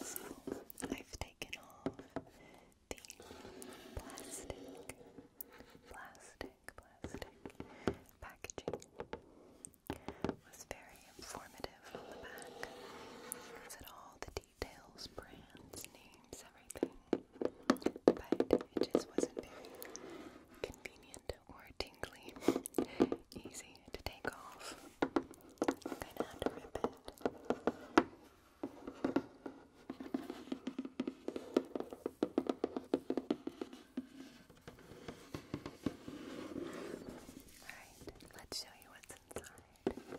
So I've taken off the plastic, plastic, plastic packaging. was very informative on the back. It said all the details, brands, names, everything. It just wasn't very convenient or tingly, easy to take off. Alright, let's show you what's inside.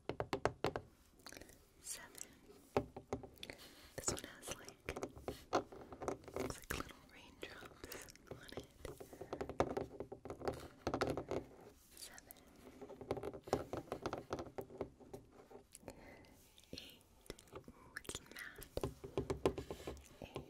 seven. This one has like it's like little raindrops on it. Seven. Eight. Ooh, it's matte. Eight.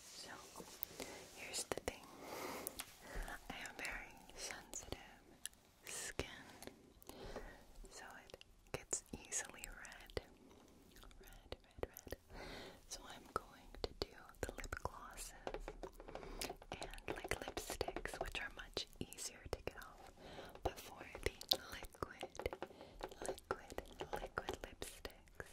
So, here's the thing. I have very sensitive skin, so it gets easily red. Red, red, red. So I'm going to do the lip glosses and like lipsticks, which are much easier to get off before the liquid, liquid, liquid lipsticks.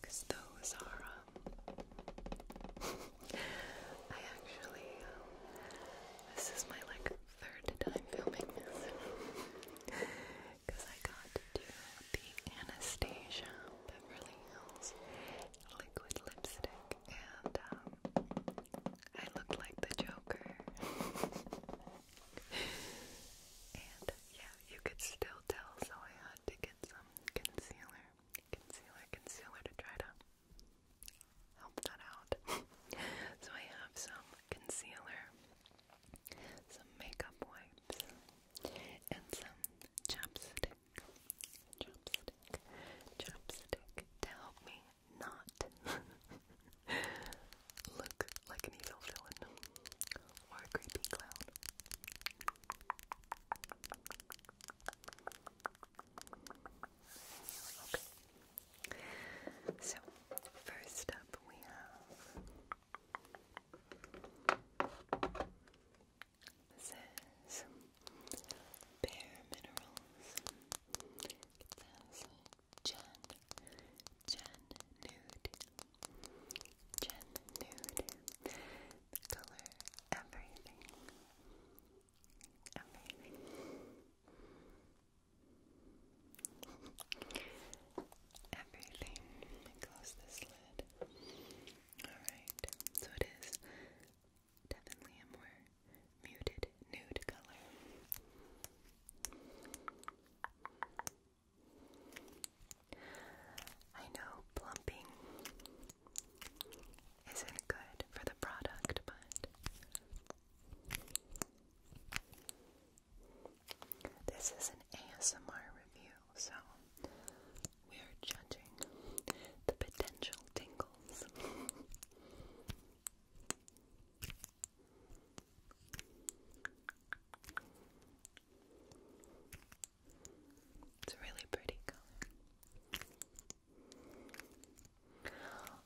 Because those are, um, I actually, um, this is my like third time filming this. Because I got the Anastasia Beverly Hills liquid lipstick and, um, I looked like the Joker. And yeah, you could still tell, so I had to get some concealer, concealer, concealer to try to help that out. so I have some concealer, some makeup wipes, and some chapstick. Chapstick, chapstick to help me not look like an evil villain or a creepy clown. Okay. So, first up we have this Bare Minerals. Jen, Jen Nude, Jen Nude, color everything, everything. Everything. Close this lid. Alright, so it is definitely a more muted nude color. I know plumping isn't good for the product, but this is an ASMR review, so we are judging the potential tingles. It's a really pretty color.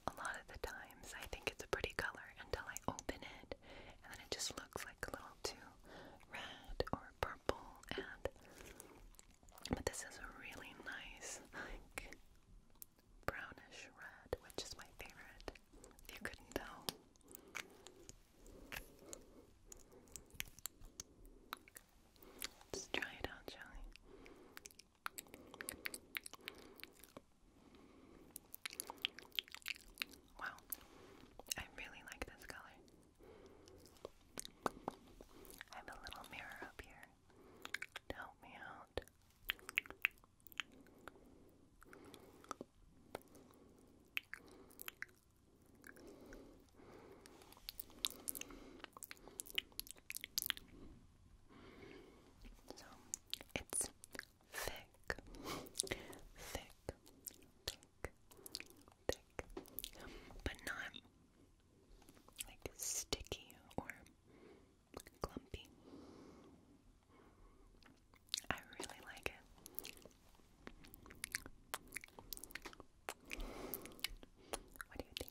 A lot of the times I think it's a pretty color until I open it and then it just looks like a little too red or purple and but this is a really nice like brownish red which is my favorite. If you couldn't tell. Let's try it out, shall Wow, I really like this color. I have a little mirror up here to help me out. So it's thick, thick, thick, thick, but not like sticky or clumpy. I really like it. What do you think?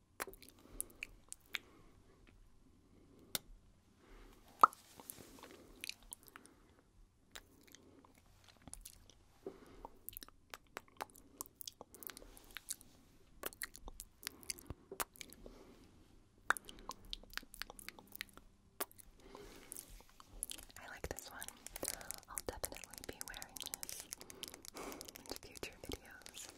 I like this one. I'll definitely be wearing this in future videos.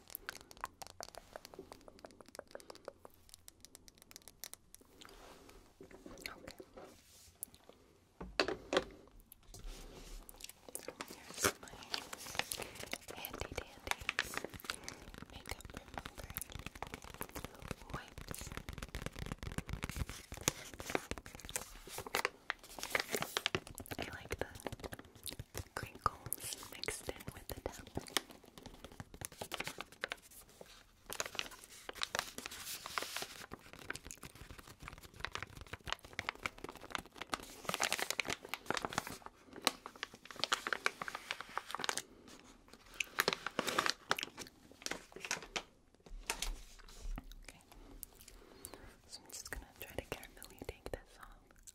Okay. Here's my handy dandy makeup remover wipes. I like the crinkles mixed in with the tap. Okay. So I'm just gonna try to carefully take this off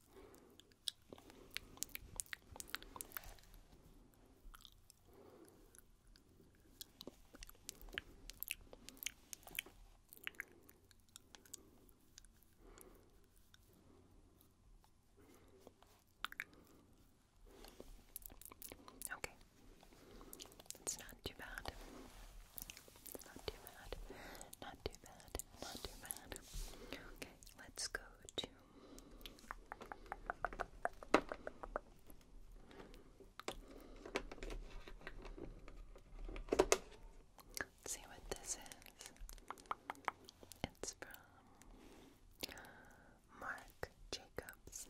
Okay, it's not too bad. not too bad. Not too bad. Not too bad. Okay, let's go to Let's see what this is. It's from Marc Jacobs.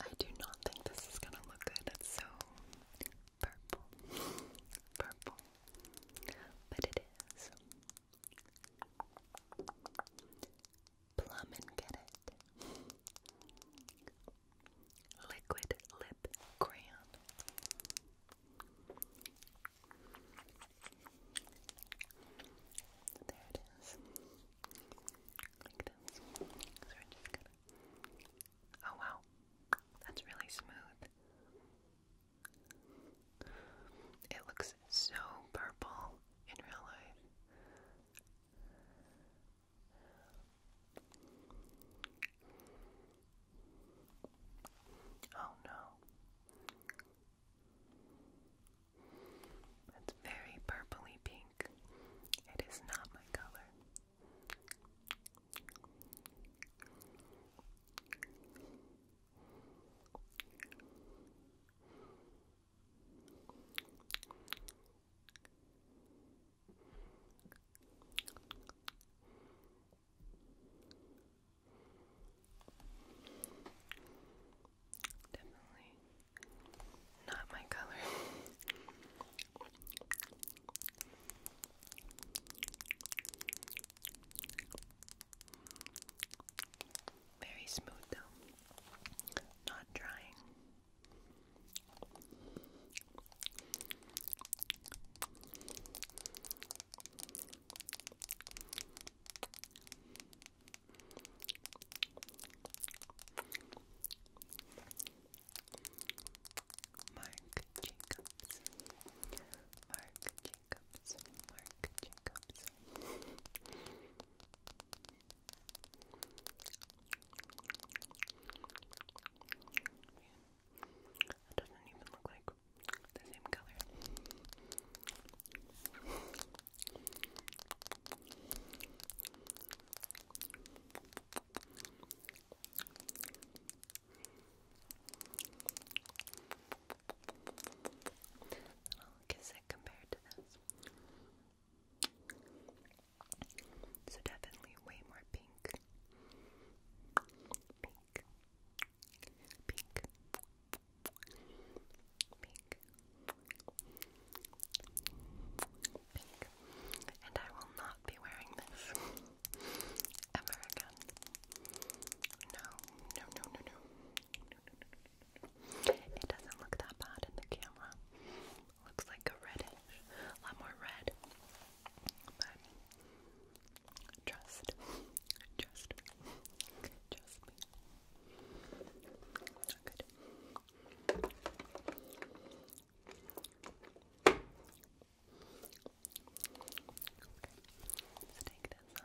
I do not think this is gonna look good. It's so purple. purple. But it is. Plum and get it. Liquid lip crayon. There it is. Like this. So we're just gonna. Oh wow, that's really smooth. It looks so purple in real life. Oh no. It's very purpley pink. It is not my color. Definitely not my color. Very smooth though. Not drying. Mark Jacobs Mark Jacobs, It doesn't even look like the same color milk is it compared to this? So definitely way more pink. Pink. Pink. Pink. Pink. And I will not be wearing this ever again. No, no, no, no, no. It doesn't look that bad in the camera. Looks like a reddish, a lot more red. But trust, trust, trust me. Not good. Okay, let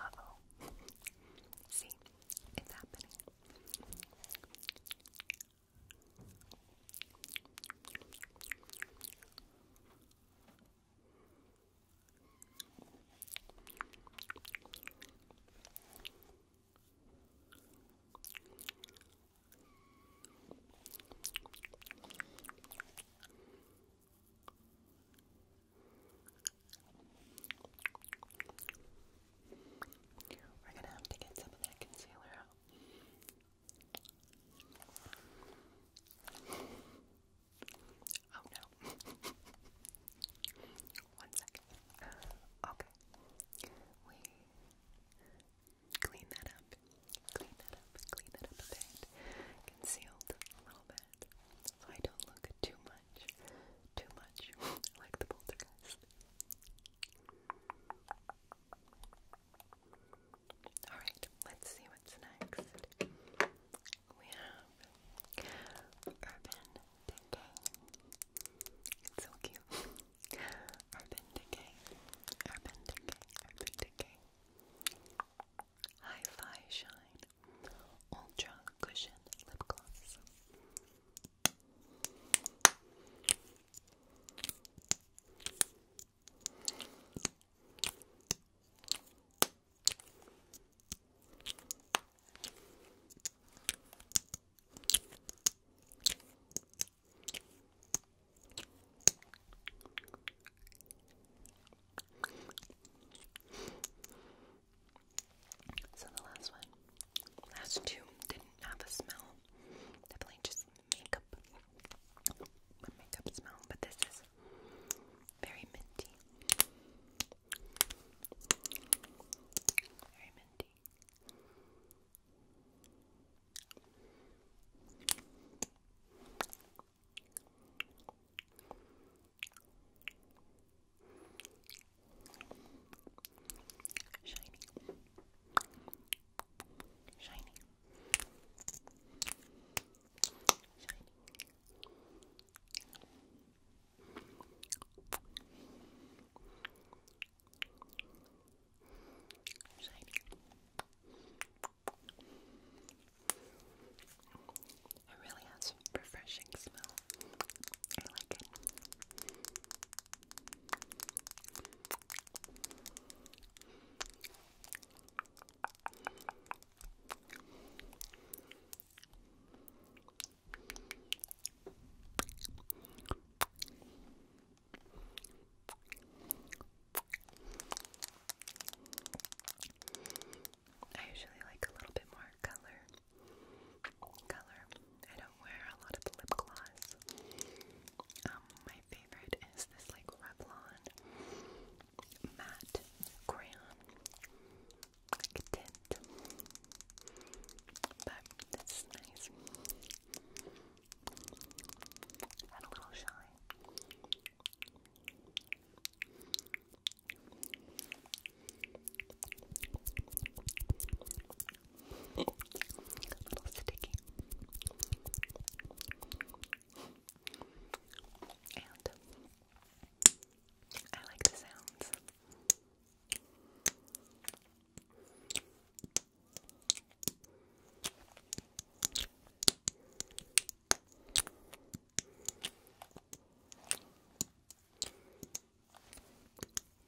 Uh oh. See, it's happening. We're gonna have to get some of that concealer out. Oh no. One second. Okay. We clean that up. Clean that up. Clean that up a bit. Concealed a little bit. So I don't look too much. Too much. like the poltergeist. Alright, let's see what's next. We have Urban Decay. It's so cute. Urban Decay. Urban Decay. Urban Decay. Hi-Fi Shine Ultra Cushion Lip Gloss. So the last one, last two didn't have a smell. Definitely just makeup, makeup smell. But this is very minty, very minty. Shiny. Shiny. Shiny. Shiny. Shiny. It really has a refreshing smell. I like it. I usually like a little bit more color. Color. I don't wear a lot of lip gloss. Um, my favorite is this like Revlon matte crayon tint. But this nice. Add a little shine. A little sticky. And I like the sounds.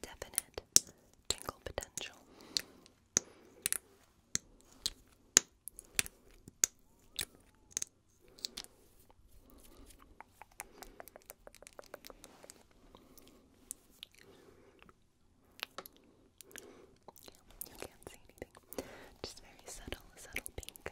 Definite tingle potential. You can't see anything. Just very subtle, subtle pink.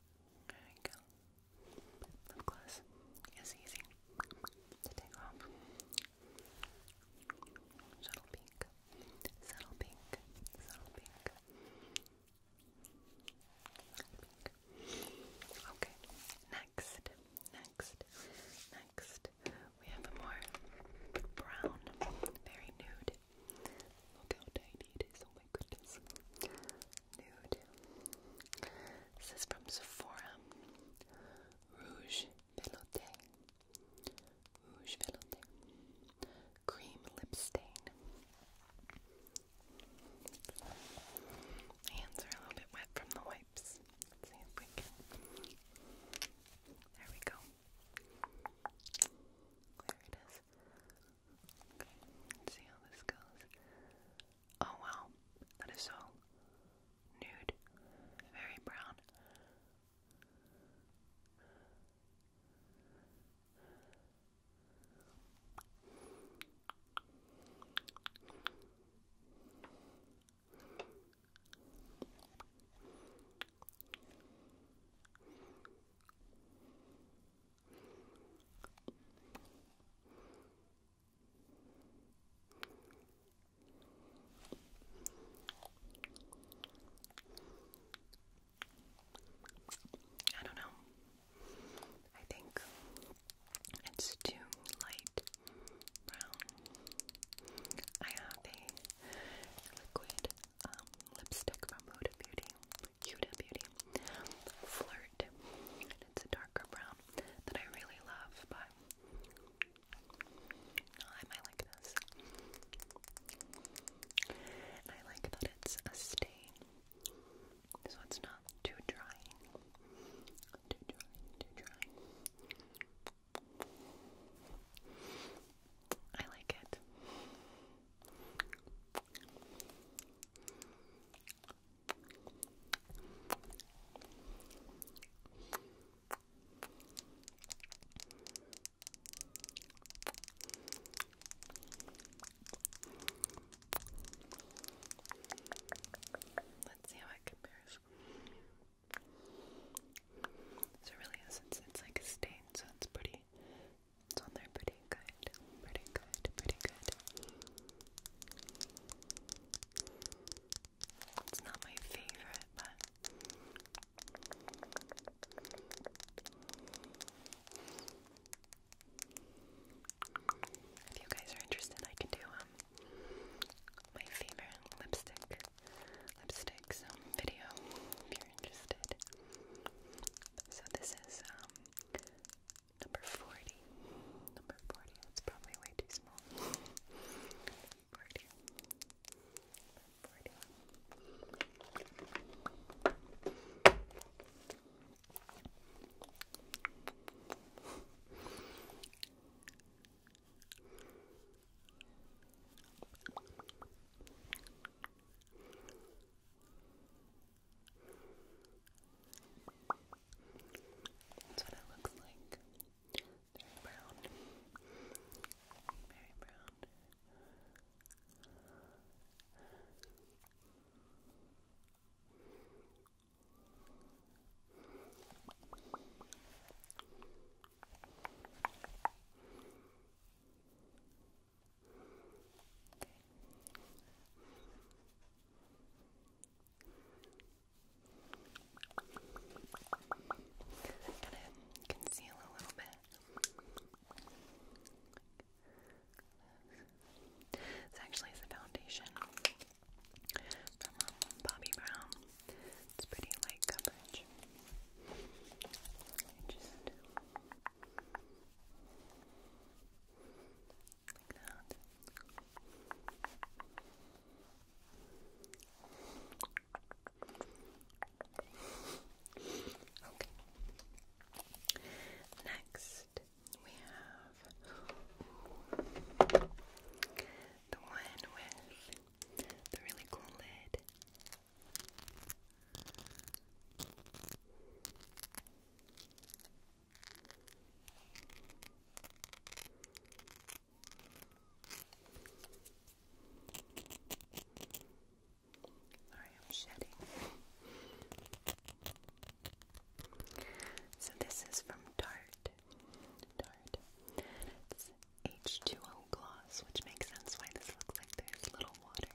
There we go. Lip gloss is easy to take off. Subtle pink, subtle pink, subtle pink, subtle pink. Okay, next, next, next, we have a more brown, very nude. Look how tiny it is, oh my goodness. Nude, this is from Sephora. Rouge Velouté. Rouge Velouté. Cream lip stain. hands are a little bit wet from the wipes. see if we can. There we go. There it is. Okay, see how this goes. Oh wow, that is so nude, very brown. I don't know. I think it's too light brown. I have a liquid um, lipstick from Huda Beauty, Huda Beauty, Fleur shirt. And it's a darker brown that I really love, but I might like this. I like that it's a stain, so it's not too drying. Too drying, too drying. I like it. Let's see how it compares. So really is it's, it's like a stain, so it's pretty it's on there pretty good. Pretty good, pretty good. It's not my favorite, but if you guys are interested, I can do um my favorite lipstick lipsticks um, video if you're interested. So this is um, Number 40. Number 40. That's probably way too small. 40. 40. That's what it looks like. Very brown. Very brown. I'm to conceal a little bit. This actually is a foundation um, Bobbi Brown. It's pretty light coverage. I just like that. Okay. Next, we have the one with the really cool lid. Sorry, I'm shedding. So this is from Tarte. Tarte. It's H2O gloss, which makes sense why this looks like there's little water.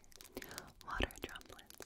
Water droplets.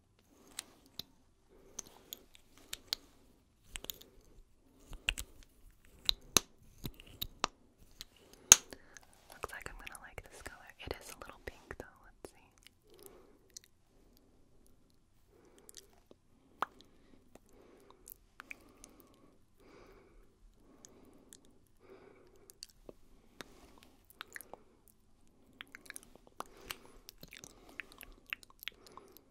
Looks like I'm gonna like this color. It is a little pink though, let's see.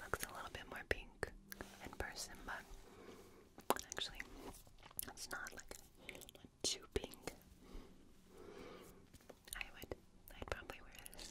Looks a little bit more pink in person, but actually, it's not like too pink. I would, I'd probably wear this.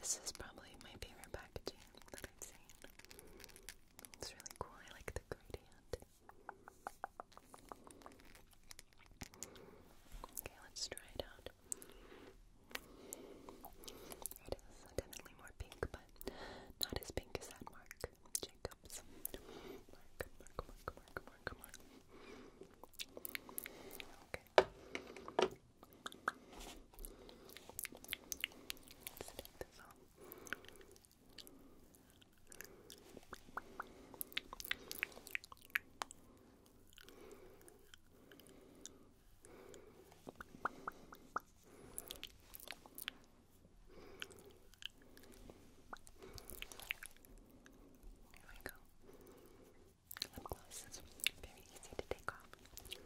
This is probably my favorite packaging that I've seen. It's really cool. I like the gradient. Okay, let's try it out. It is definitely more pink, but not as pink as that Mark Jacobs. Mark, Mark, Mark, Mark, Mark, Mark. Okay. There we go. Lip gloss is very easy to take off. There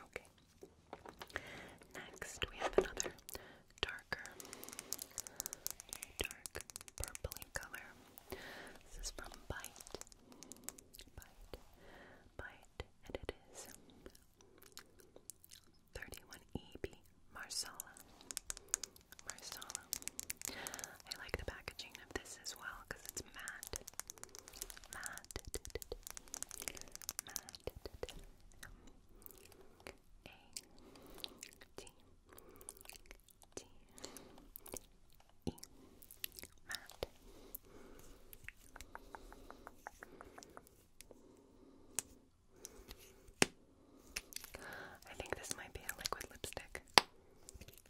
Okay. Next, we have another darker, dark purpley color. This is from Bite, Bite, Bite, and it is 31EB Marsala. Marsala. I like the packaging of this as well because it's M A T T E. Matte. I think this might be a liquid lipstick. I'm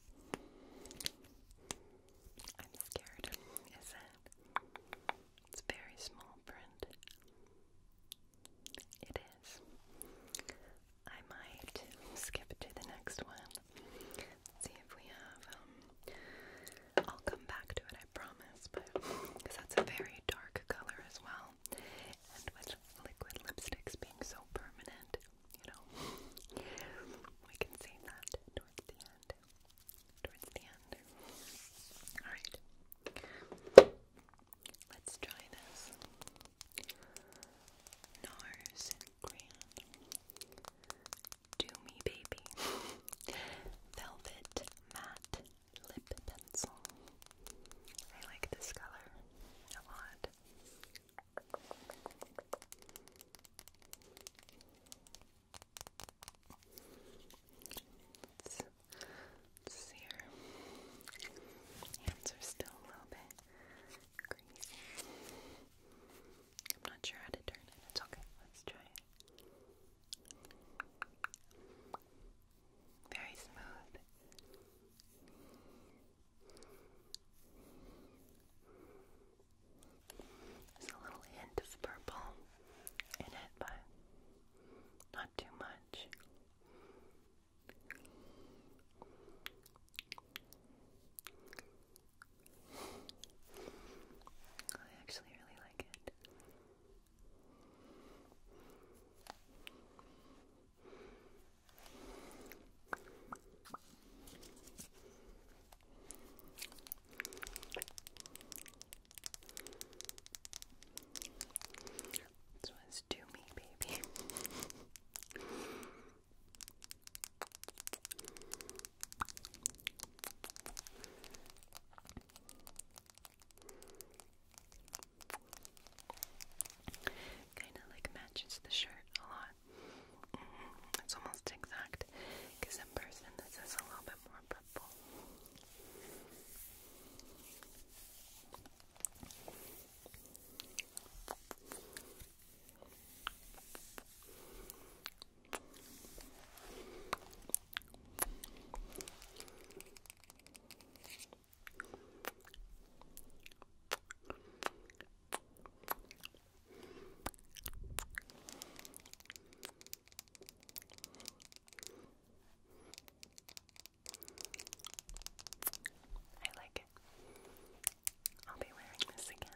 scared, is It's very small print. It is. I might skip to the next one. see if we have, um, I'll come back to it, I promise, but that's a very dark color as well. And with liquid lipsticks being so permanent, you know, we can save that towards the end. Towards the end. Alright. Let's try this. NARS Grand. Do Me Baby. Velvet Matte Lip Pencil. I like this color a lot. Let's, let's see here. Hands are still a little bit greasy. I'm not sure how to turn it. It's okay. Let's try it. Very smooth. There's a little hint of purple in it, but not too much. I actually really like it. This one's to me, baby. Kind of like matches the shirt a lot lot. Mm It's almost exact, because in person this is a little bit more purple. I like it. I'll be wearing this again.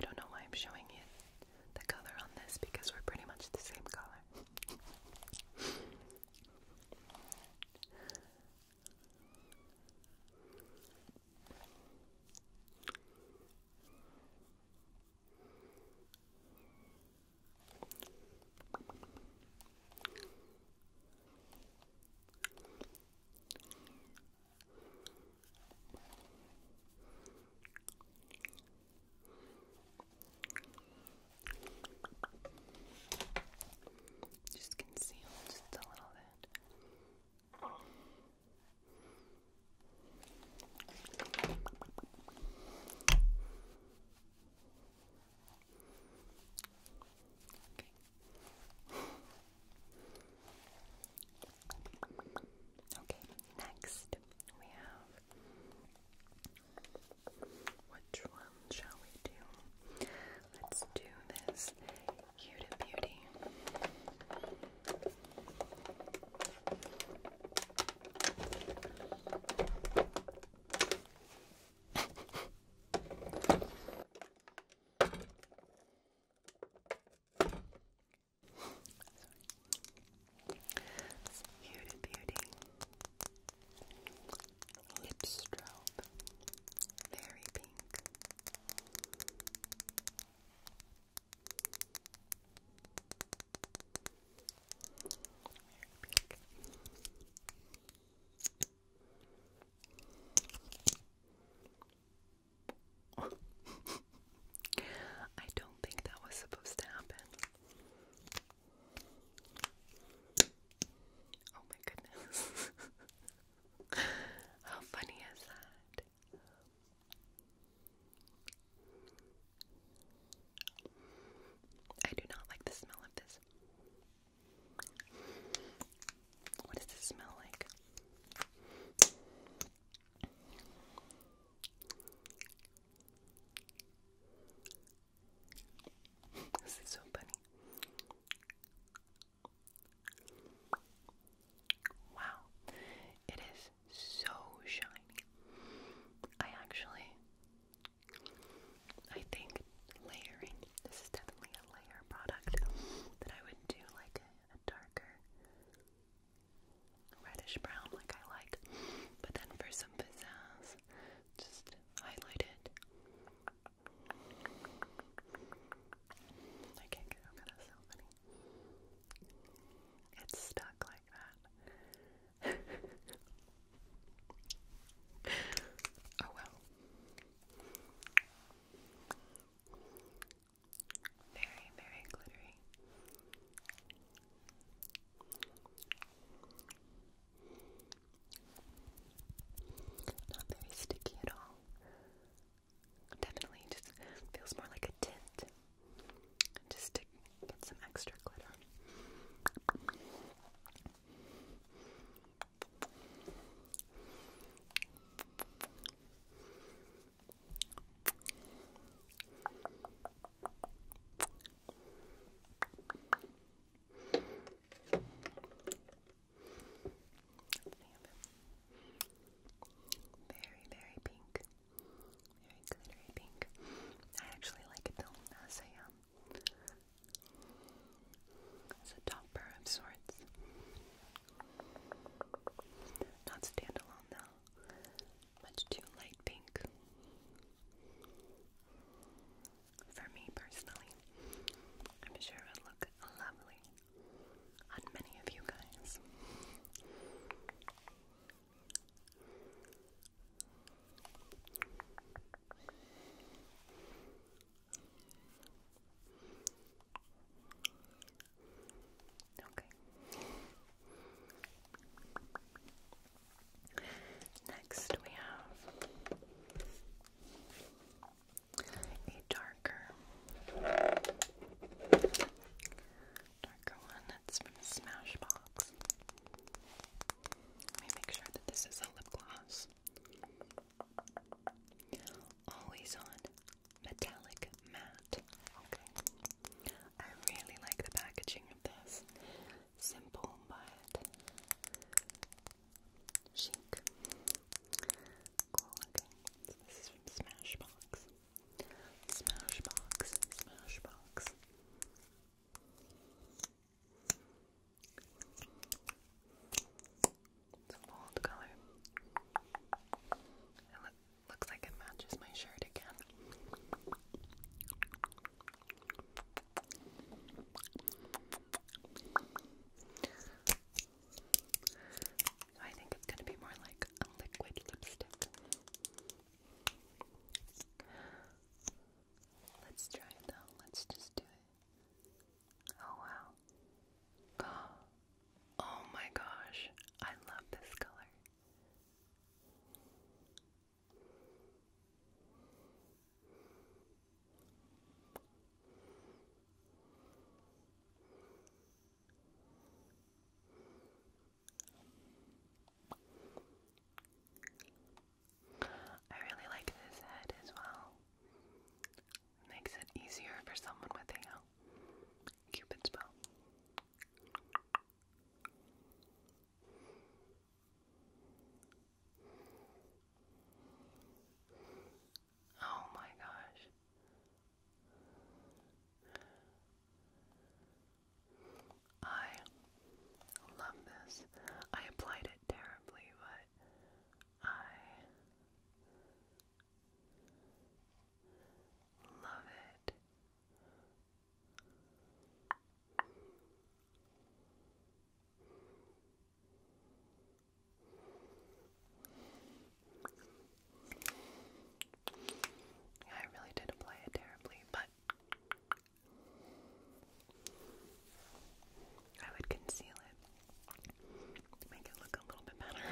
I don't know why I'm showing you the color on this because we're pretty much the same color. Just conceal a little bit. Okay, next we have which one shall we do? Let's do this Huda Beauty. It's beauty, beauty. Lip strobe, very pink. I don't think that was supposed to happen. Oh my goodness. How funny is that? I do not like the smell of this. What does this smell like? This is so funny. Wow, it is so shiny. I actually, I think layering, this is definitely a layer product that I would do like a, darker reddish brown like I like, but then for some pizzazz, just highlight it. I can't get over this, it's stuck like that. oh well. Very, very glittery. Not very sticky at all. Definitely just feels more like a tint just to get some extra glitter. Very, very pink. Very glittery pink. I actually like it though as a um, as a topper of sorts. Not standalone though. Much too light pink. For me personally. I'm sure it would look lovely on many of you guys. Okay. Next, we have a darker darker one that's from Smashbox. Let me make sure that this is a lip gloss. Always on metallic matte. Okay. I really like the packaging of this. Simple but chic. Cool this is from Smashbox. Smashbox, Smashbox. It's a bold color. It looks like it matches my shirt again. So I think it's going to be more like a liquid lipstick. Let's try it though. Let's just do it. Oh wow. Oh my gosh. I love this color. I really like this head as well. Makes it easier for someone with a uh, cupid's bow. Oh my gosh. I love this. I applied it terribly, but I love it. I really did apply it terribly, but I would conceal it make it look a little bit better.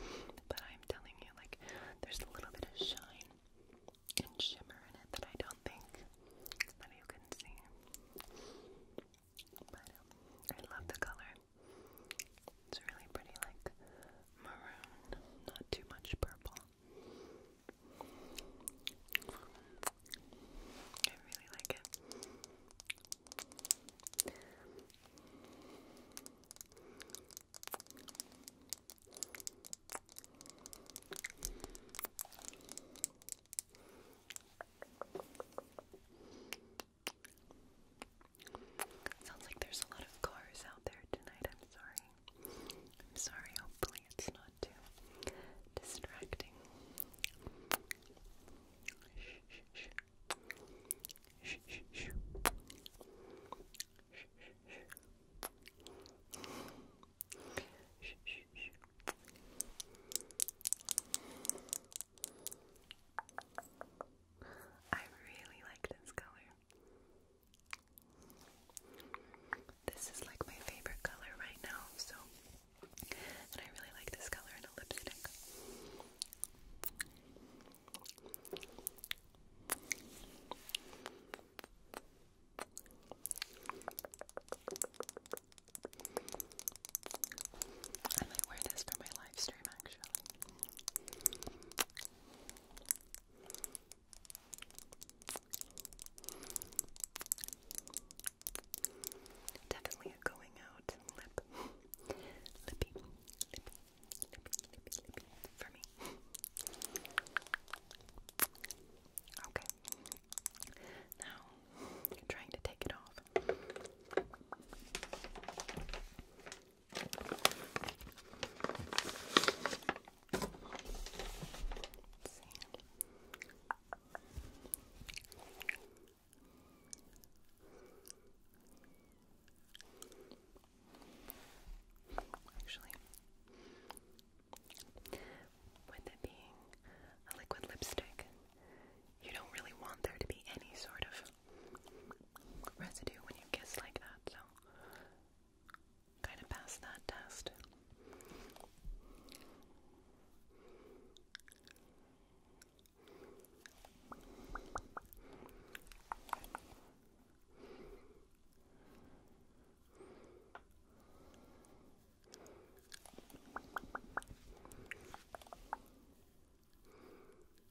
But I'm telling you, like, there's a little bit of shine and shimmer in it that I don't think that you can see. But I love the color. It's really pretty, like maroon, not too much purple. I really like it. Sounds like there's a lot of cars out there tonight. I'm sorry. I'm sorry. Hopefully, it's not too distracting. Shh, shh, shh. Shh, shh, shh. Shh, shh, shh. Shh, shh, shh. I really like this color. This is like my favorite color right now, so and I really like this color in a lipstick. I might wear this for my live stream actually. Definitely a going out lip. lippy, lippy, lippy, lippy, lippy for me. Okay. Now, I'm trying to take it off. Actually, with it being a liquid lipstick, you don't really want there to be any sort of residue when you kiss like that, so Gonna pass that test.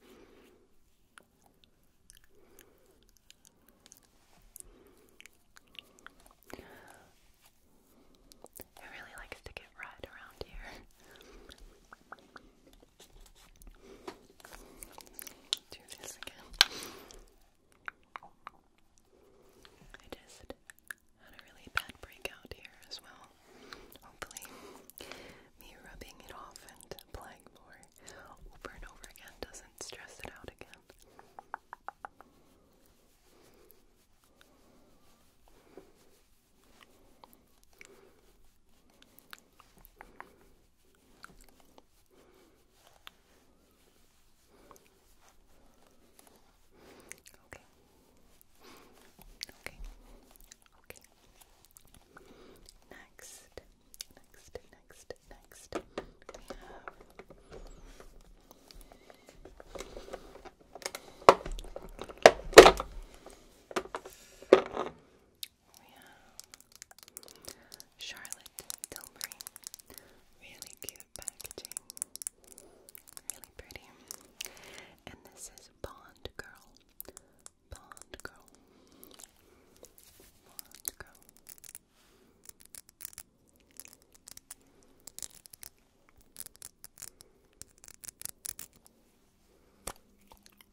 It really likes to get right around here. Do this again. I just had a really bad breakout here as well. Hopefully, me rubbing it off and applying more over and over again doesn't stress it out again. Okay. Okay. Okay. Next. Next. Next. Next. We Charlotte Tilbury. Really cute packaging. Really pretty. And this is Bond Girl. Blonde girl. Blonde girl.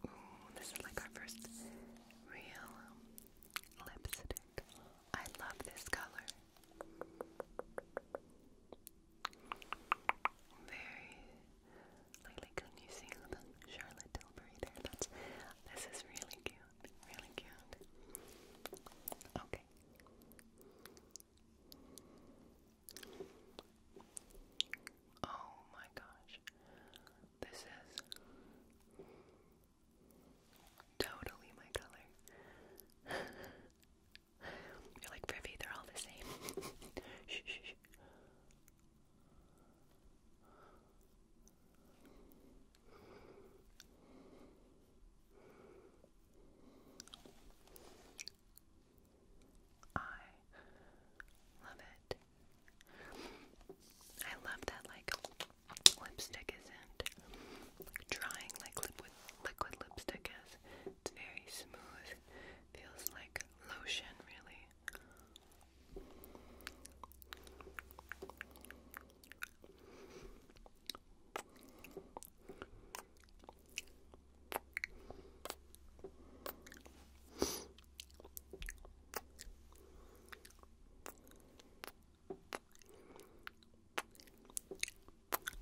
Ooh, this is like our first real lipstick. I love this color. Very lightly can you see Charlotte Tilbury there? That's this is really cute. Really cute. Okay. Oh my gosh. This is totally my color. You're like, Privy, they're all the same. shh. I love it. I love that like lipstick isn't like drying like liquid liquid lipstick is. It's very smooth. Feels like lotion, really.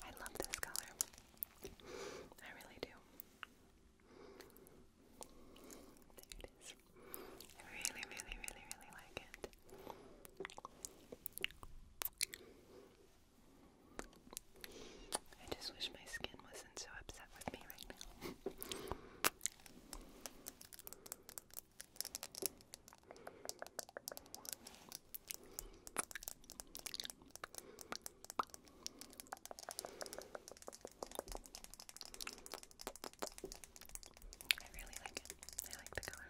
I love this color. I really do. There it is. I really, really, really, really like it. I just wish my skin wasn't so upset with me right now. I really like it. I like the color.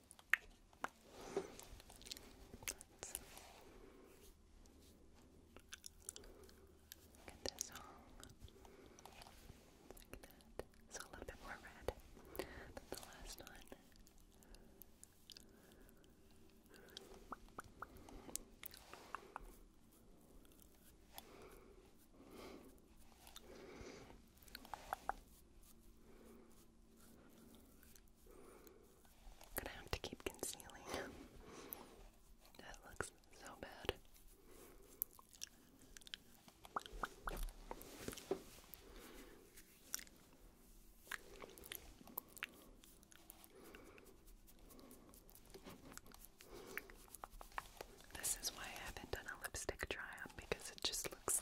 Let's get this all like that. So a little bit more red than the last one gonna have to keep concealing. that looks so bad. This is why I haven't done a lipstick try because it just looks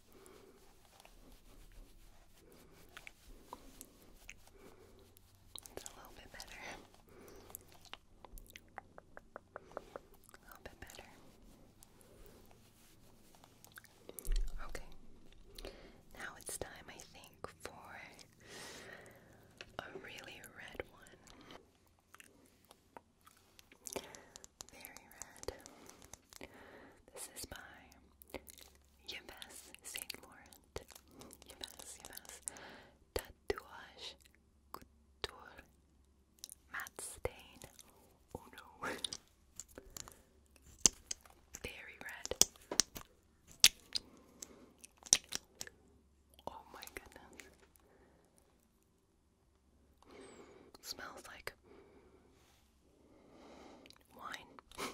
It's a little bit better. A little bit better. Okay. Now it's time, I think, for a really red one. Very red. This is by Yves Saint Laurent. Yves, Yves. Tatouage Couture Matte Stain. Oh no. Very red. Oh my goodness. Smells like Wine.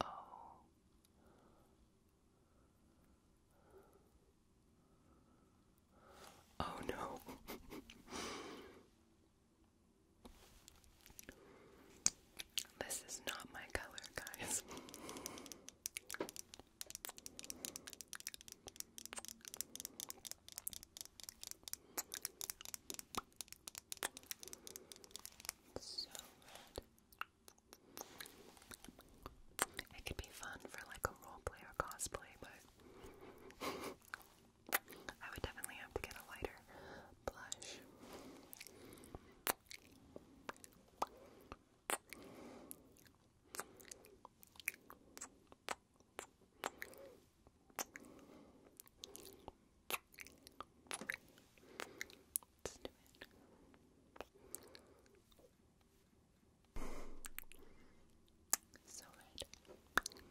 O oh. oh no. this is not my color, guys. So red. It could be fun for like a roleplay or cosplay, but I would definitely have to get a lighter blush. Let's do it. So red. So bright.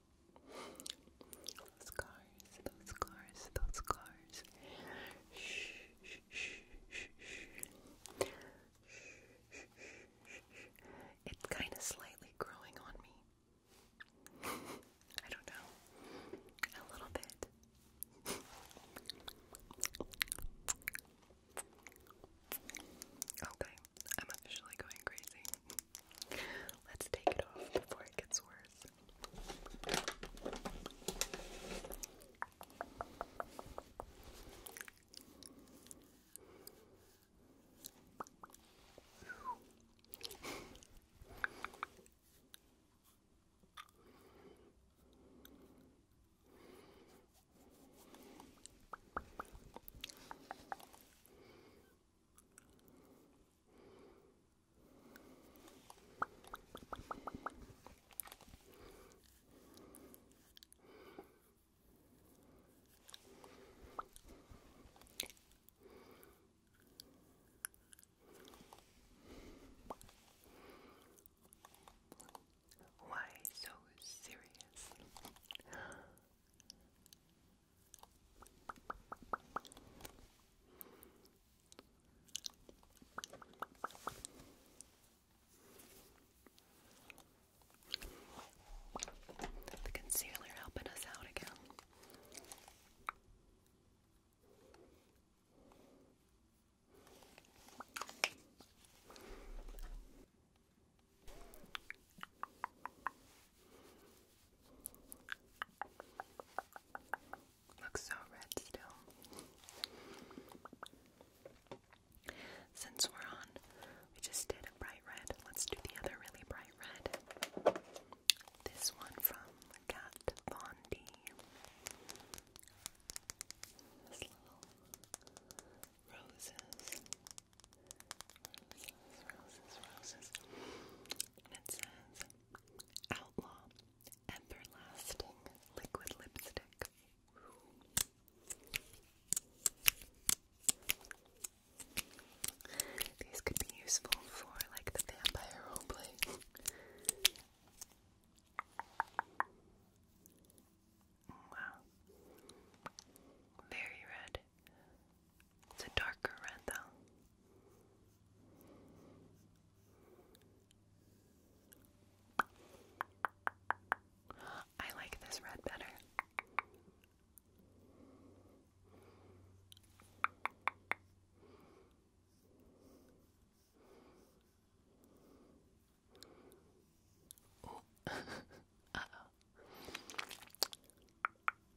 Those cars, those cars, those cars. Shh, shh, shh, shh, shh. Shh, shh, shh. It's kind of slightly growing on me. I don't know. A little bit. Okay, I'm officially going crazy. Let's take it off before it gets worse. Why so serious? The concealer helping us out again. Looks so red still. Since we're on, we just did a bright red. Let's do the other really bright red. This one from Kat Von little Roses, roses, roses and it says Outlaw Everlasting Liquid Lipstick. These could be useful for like the vampire roleplay. Wow. Very red. It's a darker red, though. I like this red better.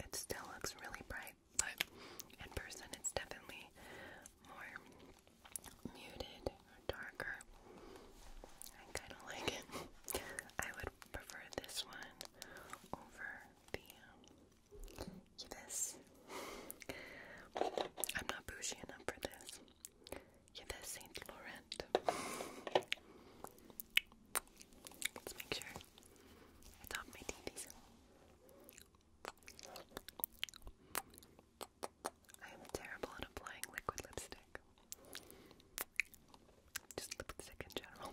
It still looks really bright, but in person it's definitely more muted or darker. I kind of like it. I would prefer this one over the um, I'm not bougie enough for this. Yeah, that's Saint Laurent. Let's make sure I thought my TVs. I am terrible at applying liquid lipstick. Just lipstick in general.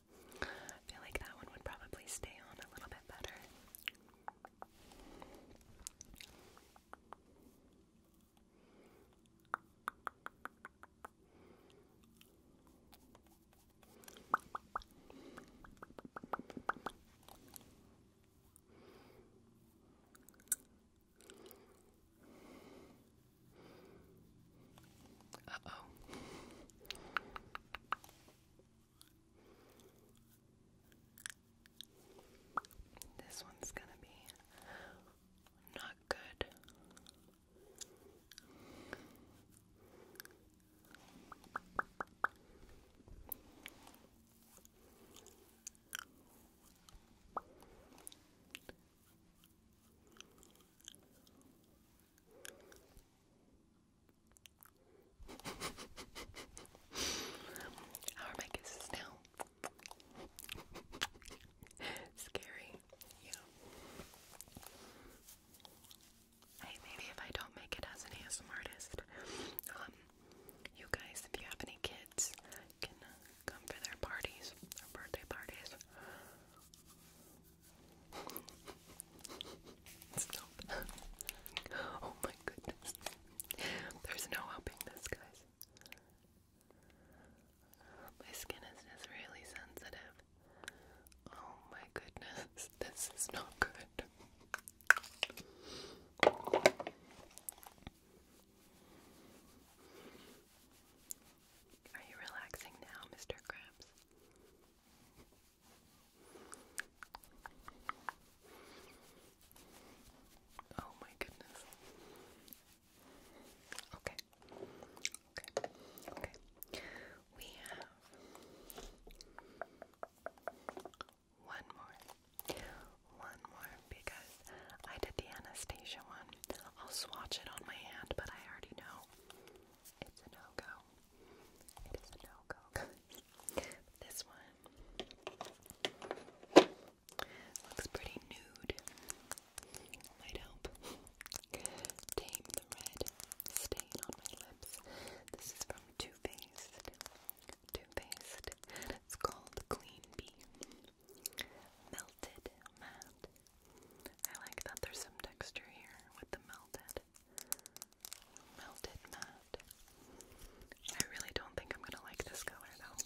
I feel like that one would probably stay on a little bit better. Uh oh. This one's gonna be not good. How are my kisses now? Scary, yeah. Hey, maybe if I don't make it as an ASM artist, um, you guys, if you have any kids, can come for their parties, their birthday parties. Stop. oh my goodness. There's no helping this, guys. My skin is just really sensitive. Oh my goodness. This is not good. Are you relaxing now, Mr. Krabs? Oh my goodness. Okay. Okay. Okay. We have one more. One more because I did the Anastasia one. I'll swatch it on my hand, but I already know it's a no go. It is a no go, this one looks pretty nude. Might help. Tame the red stain on my lips. This is from Too Faced. Too Faced. It's called Clean Bee. Melted matte I like that there's some texture here with the melted, melted matte. I really don't think I'm gonna like this color though.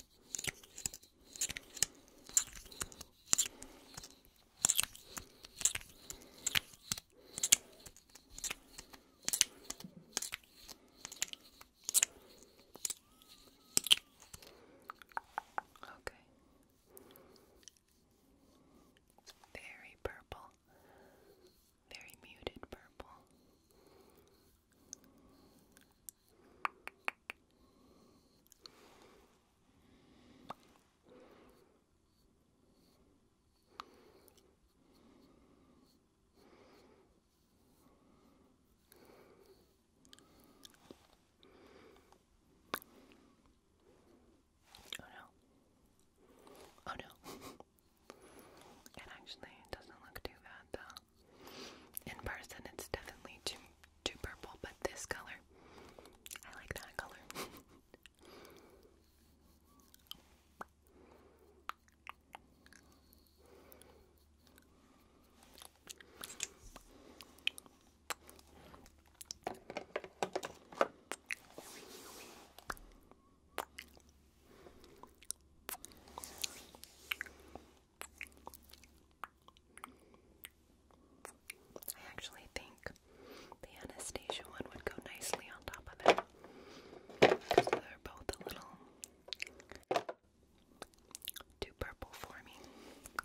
Okay. It's very purple, very muted purple. Oh no. Oh no. it actually doesn't look too bad though. In person it's definitely too too purple, but this color I like that color. I actually think the Anastasia one would go nicely on top of that because they're both a little too purple for me.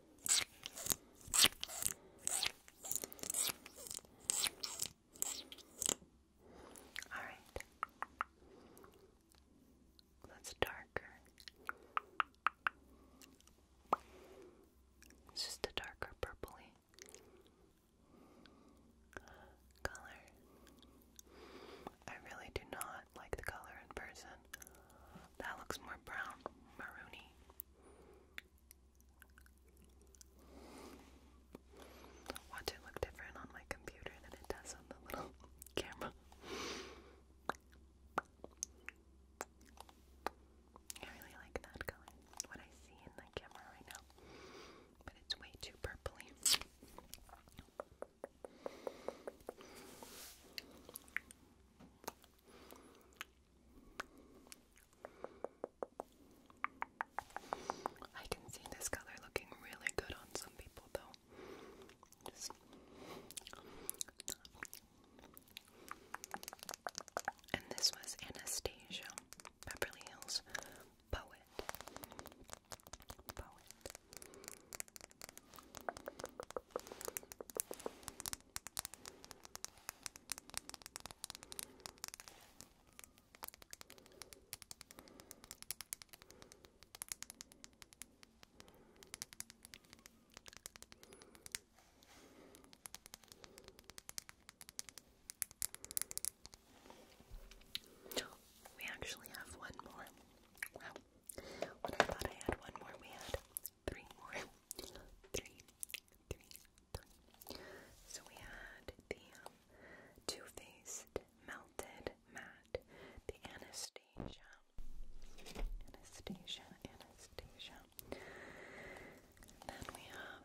All right. That's darker. It's just a darker purpley color. I really do not like the color in person. That looks more brown, maroony. Watch it look different on my computer than it does on the little camera. really like that color, what I see in the camera right now. But it's way too purpley. I can see this color looking really good on some people though. and this was Anastasia, Beverly Hills Poet. We actually have one more. Wow. When I thought I had one more, we had three more. Three, three, three. So we had the um, Too Faced Melted Matte, the Anastasia, Anastasia, Anastasia. Then we have.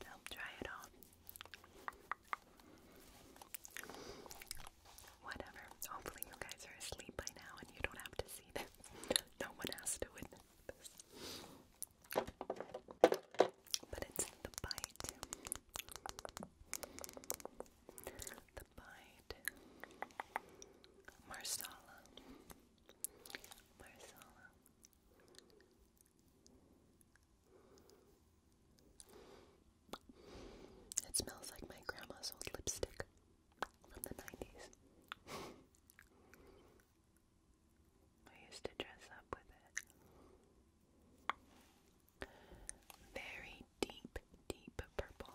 So try it on. Whatever. Hopefully you guys are asleep by now and you don't have to see this. No one has to witness this. But it's the bite. The bite. Marsala. Marsala. It smells like my grandma's old lipstick from the 90s. I used to dress up with it. Very deep, deep purple.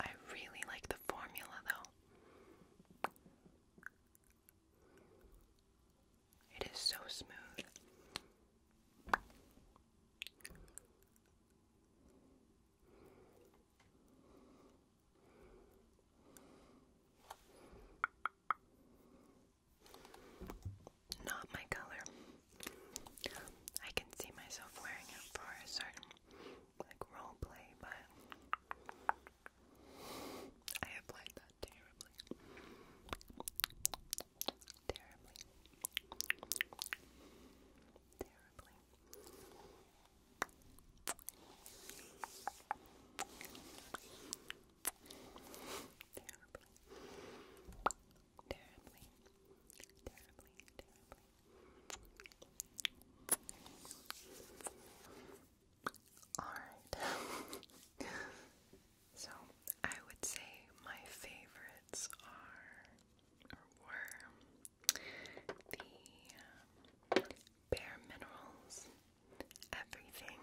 I really like the formula though. It is so smooth. Not my color. I can see myself wearing it for a certain like role play, but I applied that terribly. Terribly. Terribly. Terribly terribly, terribly, terribly. Alright. so I would say my favorites are or were the um, bare minerals, everything.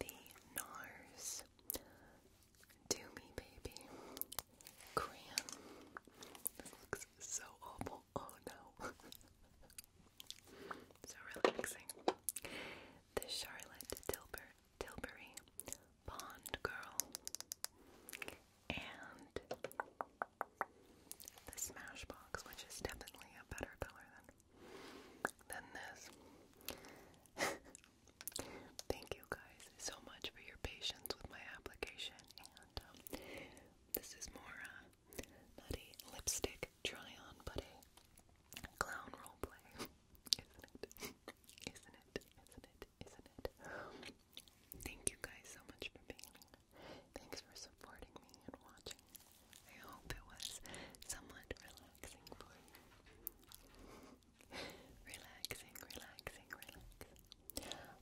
The NARS Do Me Baby Crayon. looks so awful. Oh no. so relaxing. The Charlotte Tilbury Bond Girl. And the Smashbox, which is definitely a better color than than this. Thank you guys so much for your patience with my application. And um, this is more uh, not a lipstick try on, but a clown role play, isn't it? Isn't it? Isn't it? Isn't it? Thank you guys so much for being Thanks for supporting me and watching. I hope it was somewhat relaxing for you. relaxing, relaxing, relaxing.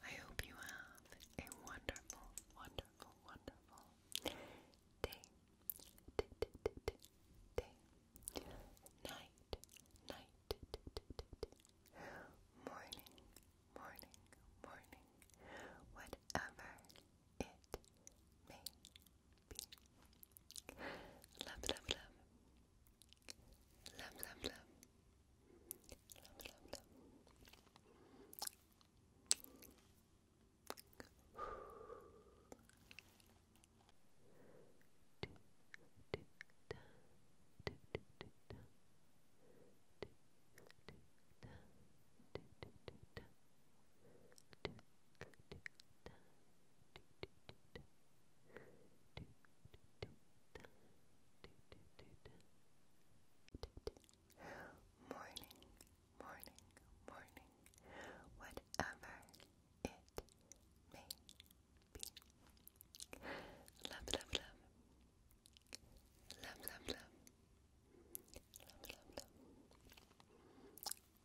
I hope you have a wonderful, wonderful, wonderful day, day, night, night, morning, morning, morning, whatever it may be. Love, love, love. Love, love, love. Love, love, love. Morning, morning, morning, whatever it may be. Love, love, love. Love, love, love. Love, love, love.